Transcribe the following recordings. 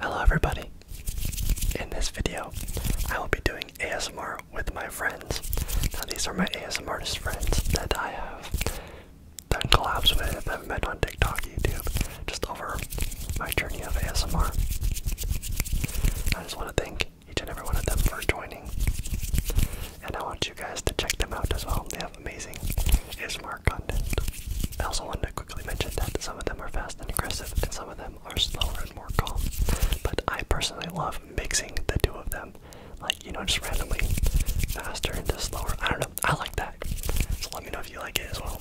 Hello everybody. In this video, I will be doing ASMR with my friends. Now these are my ASMR artist friends that I have done collabs with, I've met on TikTok, YouTube, just over my journey of ASMR. I just want to thank each and every one of them for joining. And I want you guys to check them out as well. They have amazing ASMR content. I also want to quickly mentioned that some of them are fast and aggressive, and some of them are slower and more calm. But I personally love mixing the two of them, like you know, just randomly faster into slower. I don't know. I like that. So let me know if you like it as well.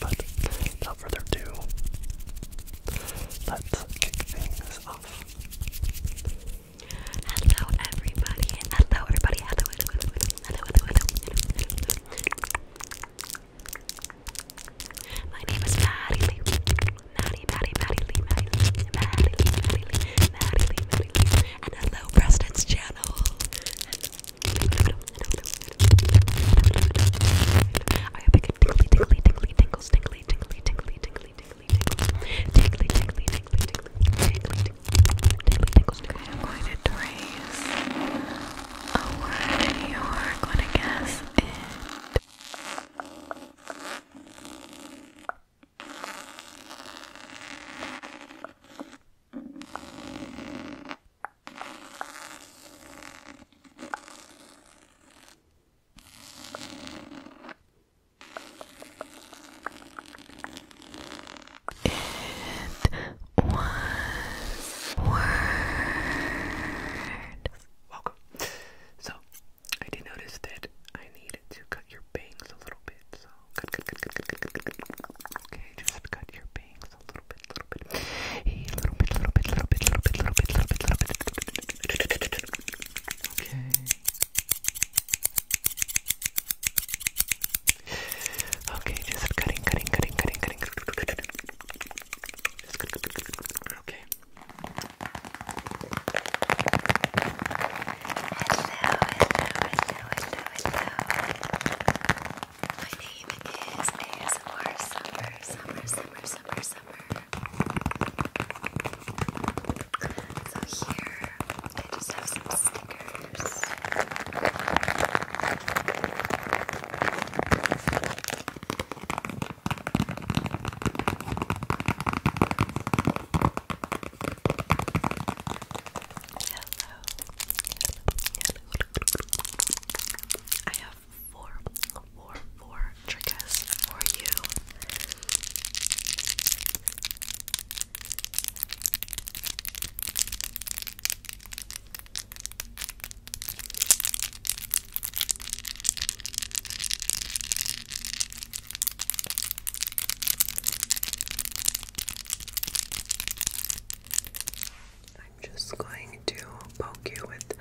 But without further ado, let's kick things off. Hello everybody. Hello everybody hello, My name is Maddie Lee. Maddie, Maddie, Maddie Lee, Maddie Maddie Maddie Lee, And hello, Preston's channel. I hope you tingly, tingly, tingly, tingly, tingly, tingly, tingly, tingly, tingly, tingly, tingly, tingly, tingly, tingly, tingly, Okay, I'm going to trace a word you're going to guess it. It was words. Welcome. So, I did notice that I needed to cut your bangs a little bit. So, Okay, just cut your bangs a little bit, little bit, little bit, little bit, little bit, little bit, little bit, little bit. Okay. Okay, just cutting, cutting, cutting, cutting, cutting. cutting. Okay. Hello, hello, hello, hello, hello. My name is ASMR Summer, Summer, Summer, Summer, Summer. So here, I just have some stickers colors. Hello. Hello. I have four, four, four triggers for you. I'm just going to poke you with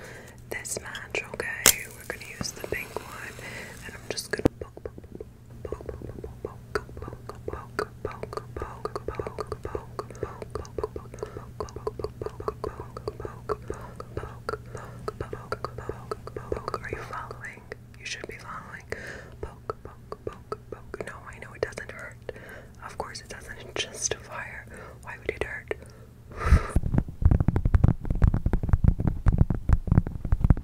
this match, okay? We're gonna use the pink one, and I'm just gonna poke, poke, poke, are you following? You should be following. Poke, poke, poke, poke. No, I know it doesn't hurt. Of course, it doesn't. Just a fire. Why would it hurt?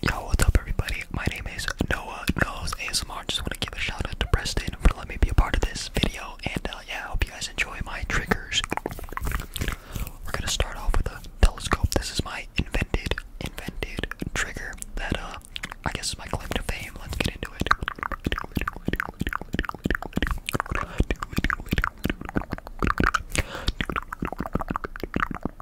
Yo, what's up, everybody? My name is Noah Knows ASMR. Just want to give a shout out to Preston for letting me be a part of this video, and uh, yeah, I hope you guys enjoy my triggers. We're gonna start off with a telescope. This is my invented, invented trigger that uh, I guess is my claim to fame. Let's get into it. What's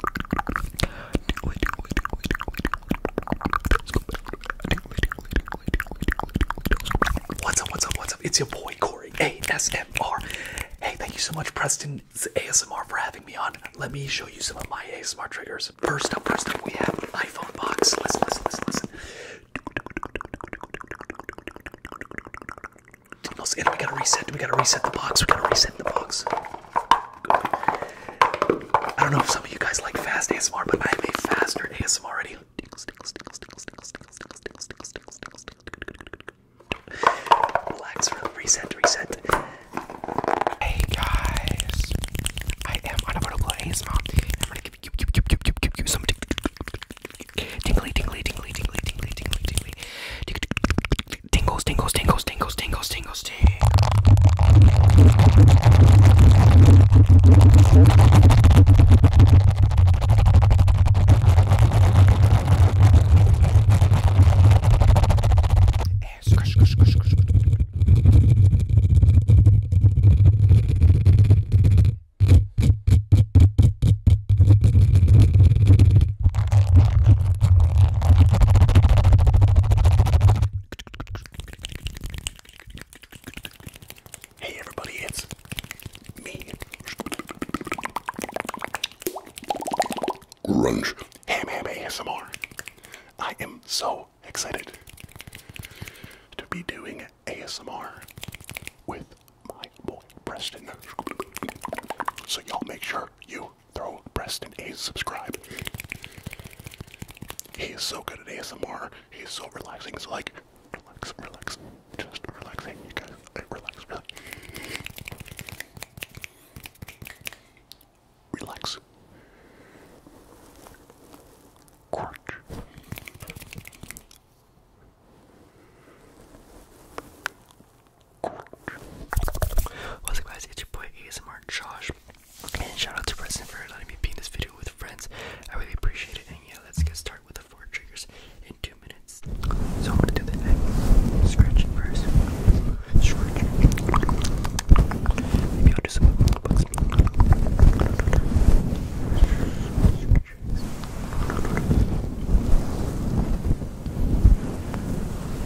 up, what's up, what's up? It's your boy Corey ASMR. Hey, thank you so much, Preston's ASMR, for having me on. Let me show you some of my ASMR triggers. First up, first up, we have iPhone box. Listen, listen, listen, listen. And we gotta reset, we gotta reset the box, we gotta reset the box. I don't know if some of you guys like fast ASMR, but I have a faster ASMR already. Relax, reset, reset. Hey guys, I am Unavoidable ASMR. I'm gonna give you, give, give, give, give, like tingles, tingles, tingles, tingles, tingles, tingles, tingles. Hey everybody, it's me. Grunge Ham Ham ASMR. I am so excited to be doing ASMR with my boy Preston. So y'all make sure you video, throw Preston a subscribe. He is so good at ASMR. He is so relaxing. It's like, relax, relax, just relaxing. You guys, relax, relax. Relax. Quark. What's up guys, it's your boy ASMR Josh, and shout to Preston for letting me be this video with friends. I really appreciate it, and yeah, let's get started with the four triggers in two minutes. So I'm gonna do the neck scratching first. Scratching. Maybe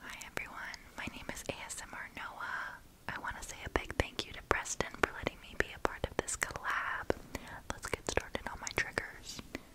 Hi everyone, my name is ASMR Noah. I want to say a big thank you to Preston for letting me be a part of this collab. Let's get started on my triggers.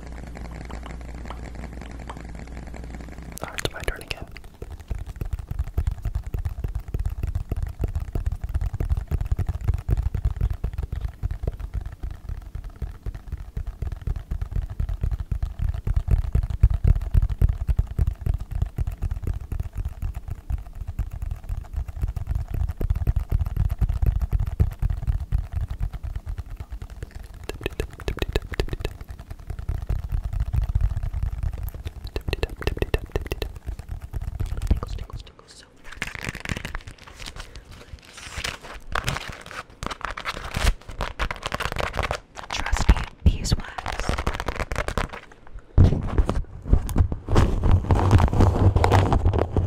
Alright, it's my turn again. Tingles, tingles, tingles. So nice. Trust me, beeswax.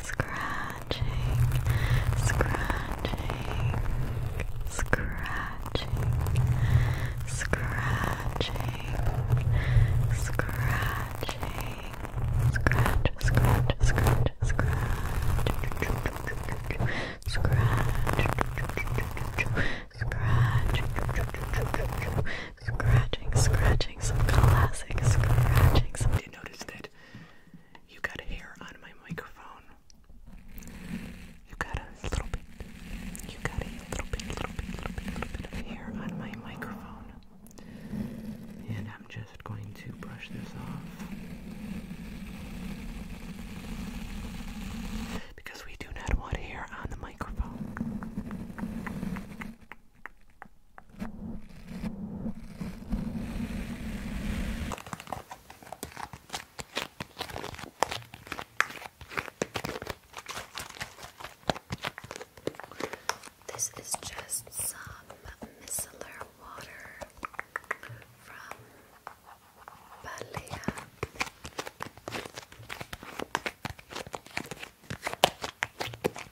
scratching, scratching, scratching, scratching, scratching, scratch, scratch, scratch, scratch, scratch. Scratch, scratching, scratching, some classic scratching. Some... Do you notice that you got hair on my microphone. You got a little bit. You got a little bit, little bit, little bit, little bit of hair on my microphone. And I'm just going to brush this off. Because we do not want hair on the microphone. This is just some micellar water from Balea.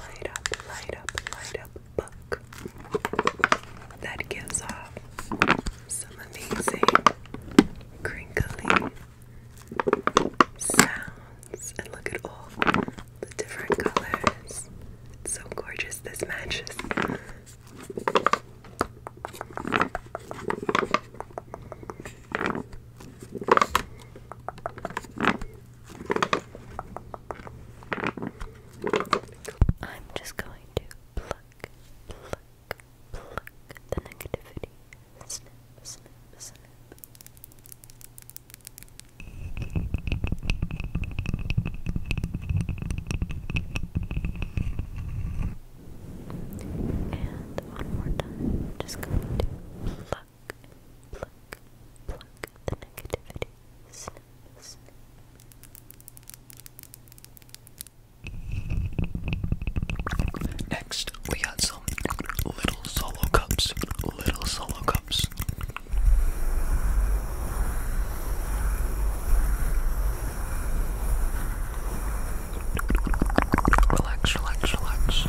Light up, light up, light up book that gives off some amazing crinkly sounds and look at all the different colors. It's so gorgeous. This matches. I'm just going to pluck, pluck, pluck the negativity. Snip, snip, snip. And one more time, just going to pluck, pluck, pluck the negativity. Snip, snip. Next, we got some little solo cups. Little solo cups. Relax, relax, relax.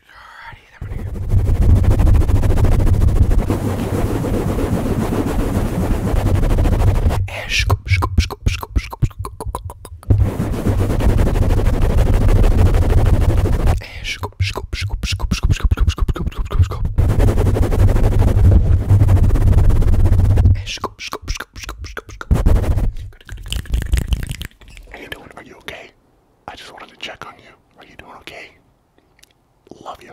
Alrighty, I'm gonna go. And scoop, scoop, scoop, scoop, scoop, scoop, scoop, scoop, scoop, scoop, I just wanted to check on you. Are you doing okay? Love you.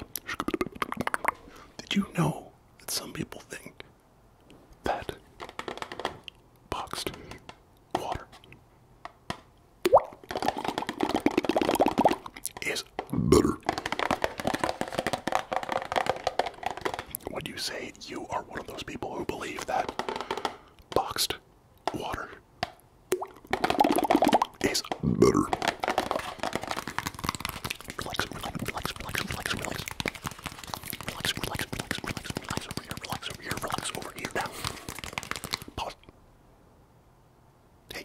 Did you know that some people think that boxed water is better? Would you say you are one of those people who believe that boxed water is better. Relax, relax, relax, relax, relax, relax. Relax, relax, relax, relax, relax over here, relax over here, relax over here now. Pause. Hey.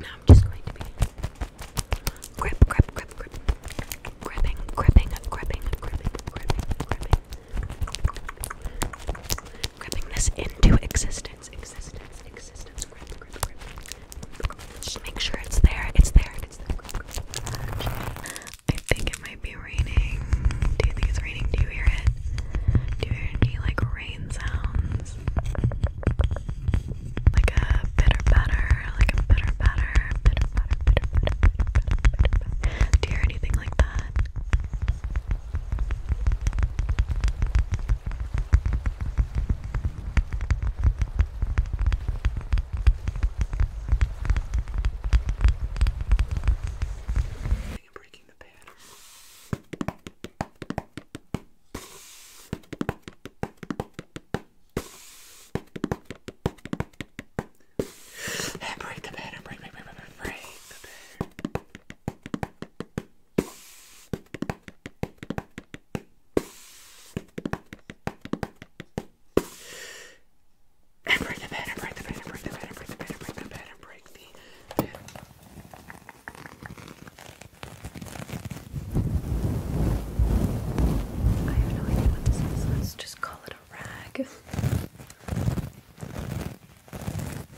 Now I'm just going to be grip, grip, grip, grip, gripping, gripping, gripping, gripping, gripping, gripping gripping this into existence, existence, existence, Just make sure it's there, it's there, I think it might be raining. Do you think it's raining? Do you hear it? Do you hear any like rain sounds? Like a bitter patter, like a bitter patter, Do you hear anything like that? and breaking the pan. And break the pattern, break, break, break, break, break the pattern. And break the bed, and break the bed, and break the bed, and break the bed, and break the bed, and break the bed. I have no idea what this is. Let's just call it a rag.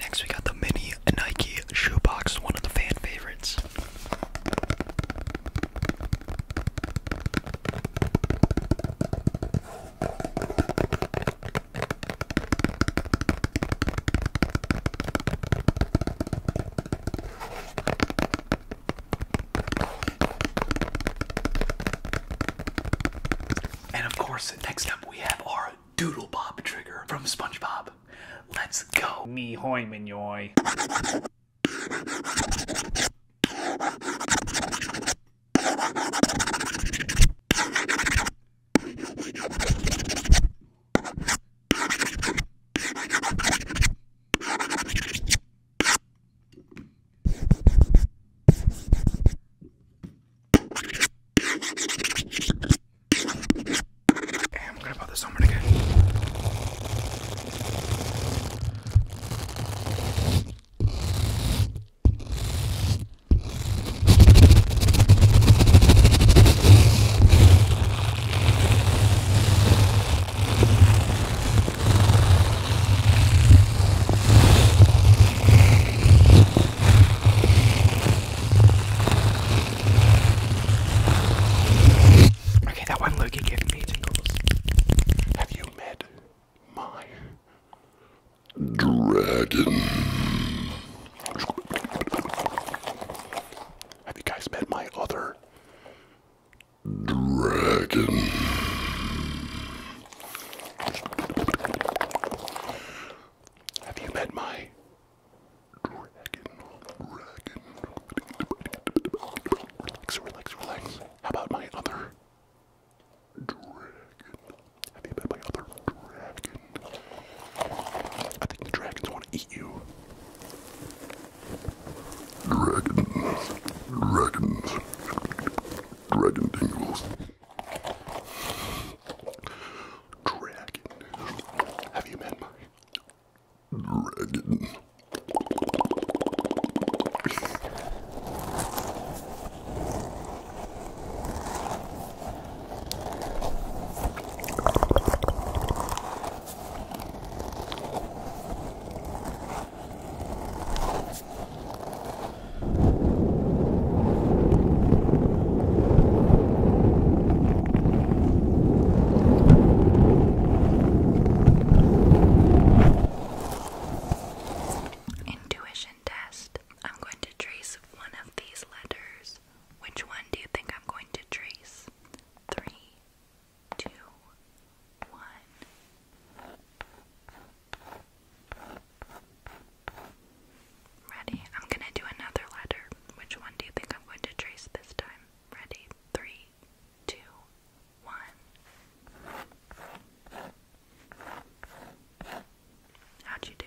Next, we got the mini Nike shoebox, one of the fan favorites. And of course, next up we have our Doodle Bob trigger from SpongeBob. Let's go. Me hoy minoy. Hey, I'm gonna put this on again. Okay, that one Loki gave me tingles. Have you met my dragon? Have you guys met my other Dragon. Have you met my dragon? Dragon. Relax, relax, relax. How about my other dragon? Have you met my other dragon? I think the dragons want to eat you. Dragons. Dragons. Dragon tingles. Dragon. Have you met my dragon? Intuition test. I'm going to trace one of these letters. Which one do you think I'm going to trace? Three, two, one. Ready? I'm gonna do another letter. Which one do you think I'm going to trace this time? Ready? Three, two, one. How'd you do?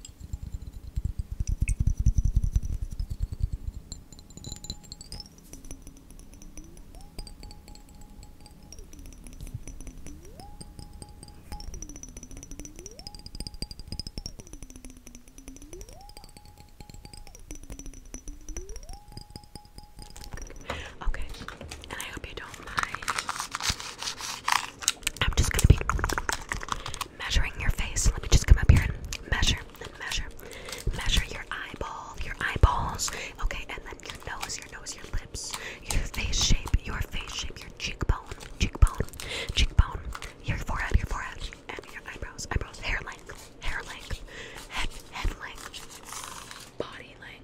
Okay, and I hope you don't mind I'm just gonna be measuring your face. Let me just come up here and measure and measure. Measure your eyeball, your eyeballs, okay, and then your nose, your nose, your lips, your face shape, your face shape, your cheekbone, cheekbone, cheekbone, your forehead, your forehead, and your eyebrows, eyebrows, hair length, hair length, head, head length, body length.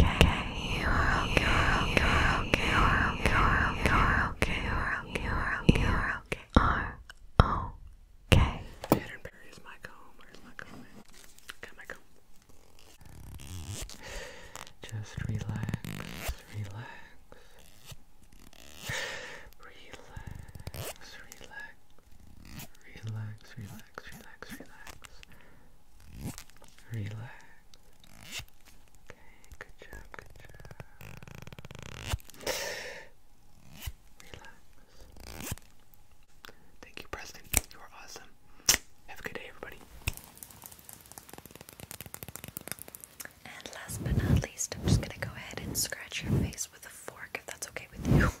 okay. Pattern Perry is my comb. Where's my comb? Got my comb. Just relax, relax, relax, relax, relax, relax relax, relax. Relax. Okay, good job, good job. Relax. Thank you, Preston. You are awesome. Have a good day, everybody. And last but not least, I'm just gonna go ahead and scratch your face with a fork if that's okay with you.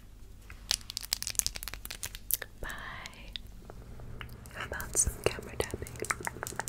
Bye. How about some camera tapping? Camera tapping.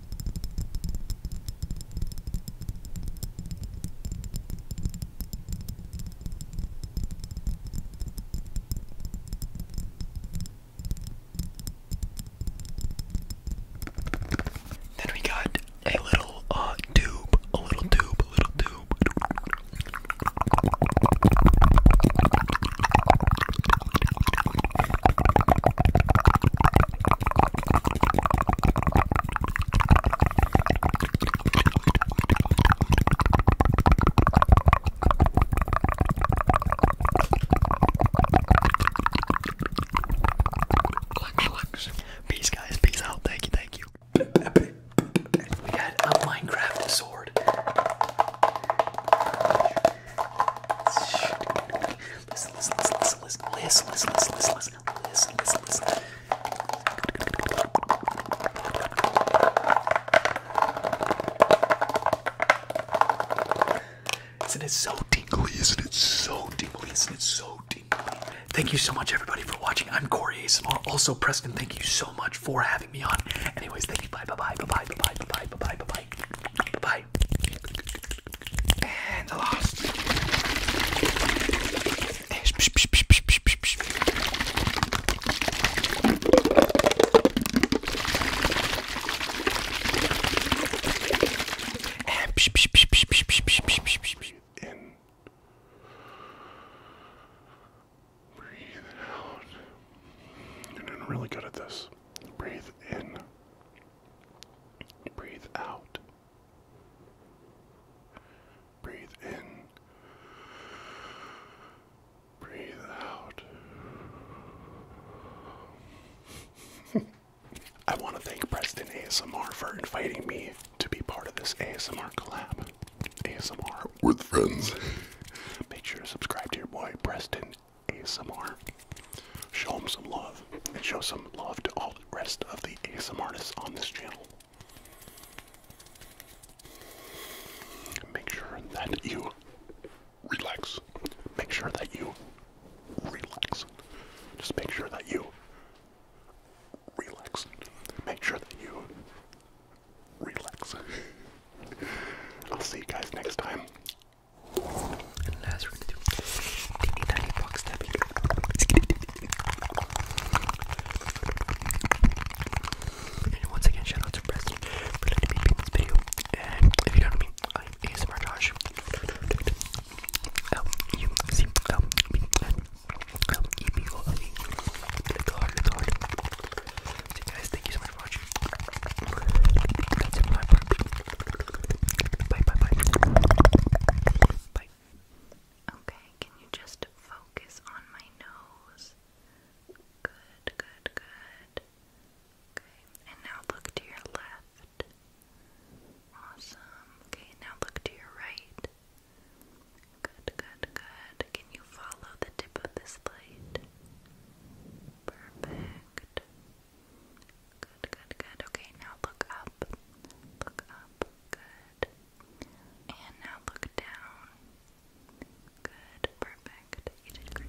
Then we got a little uh tube, a little tube, a little tube. Peace, guys. Peace out. Thank you. Thank you. We got a Minecraft sword okay? Listen, listen, listen, listen, listen, listen, listen, listen, listen, listen, listen, listen. Isn't it so tingly? Isn't it so tingly? Isn't it so tingly? Thank you so much, everybody, for watching. I'm Corey ASMR. Also, Preston, thank you so much for having me on. Anyways, thank you. Bye, bye, bye, bye, bye, bye, bye, bye, bye, bye, bye, bye. And the last. In. Breathe out. You're doing really good at this. Breathe in. Breathe out. Breathe in. Breathe out. I want to thank Preston ASMR for inviting me to be part of this ASMR collab. ASMR with friends. Make sure to subscribe to your boy Preston ASMR. Show them some love and show some love to all the rest of the ASMR artists on this channel. Make sure that you relax. Make sure that you relax. Just make sure that you relax. Make sure that you relax. I'll see you guys next time. And last, we're gonna do teeny tiny box And once again, shout to Preston for letting me make this video. And if you don't know me, I'm ASMR Josh. L U C L B N L E B O L E. Little hard, little hard. So, guys, thank you so much for watching. Okay, can you just focus on my nose? Good, good, good. Okay, and now look to your left. Awesome. Okay, now look to your right. Good, good, good. Can you follow the tip of this light? Perfect. Good, good, good. Okay, now look up. Look up. Good. And now look down. Good, perfect. You did great.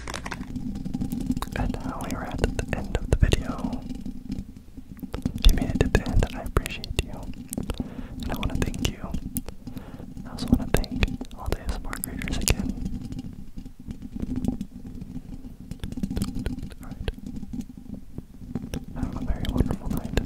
And now we are at the end of the video. If you made it to I appreciate you. And I want to thank you. I also want to thank all the smart creators again. Have a very wonderful night.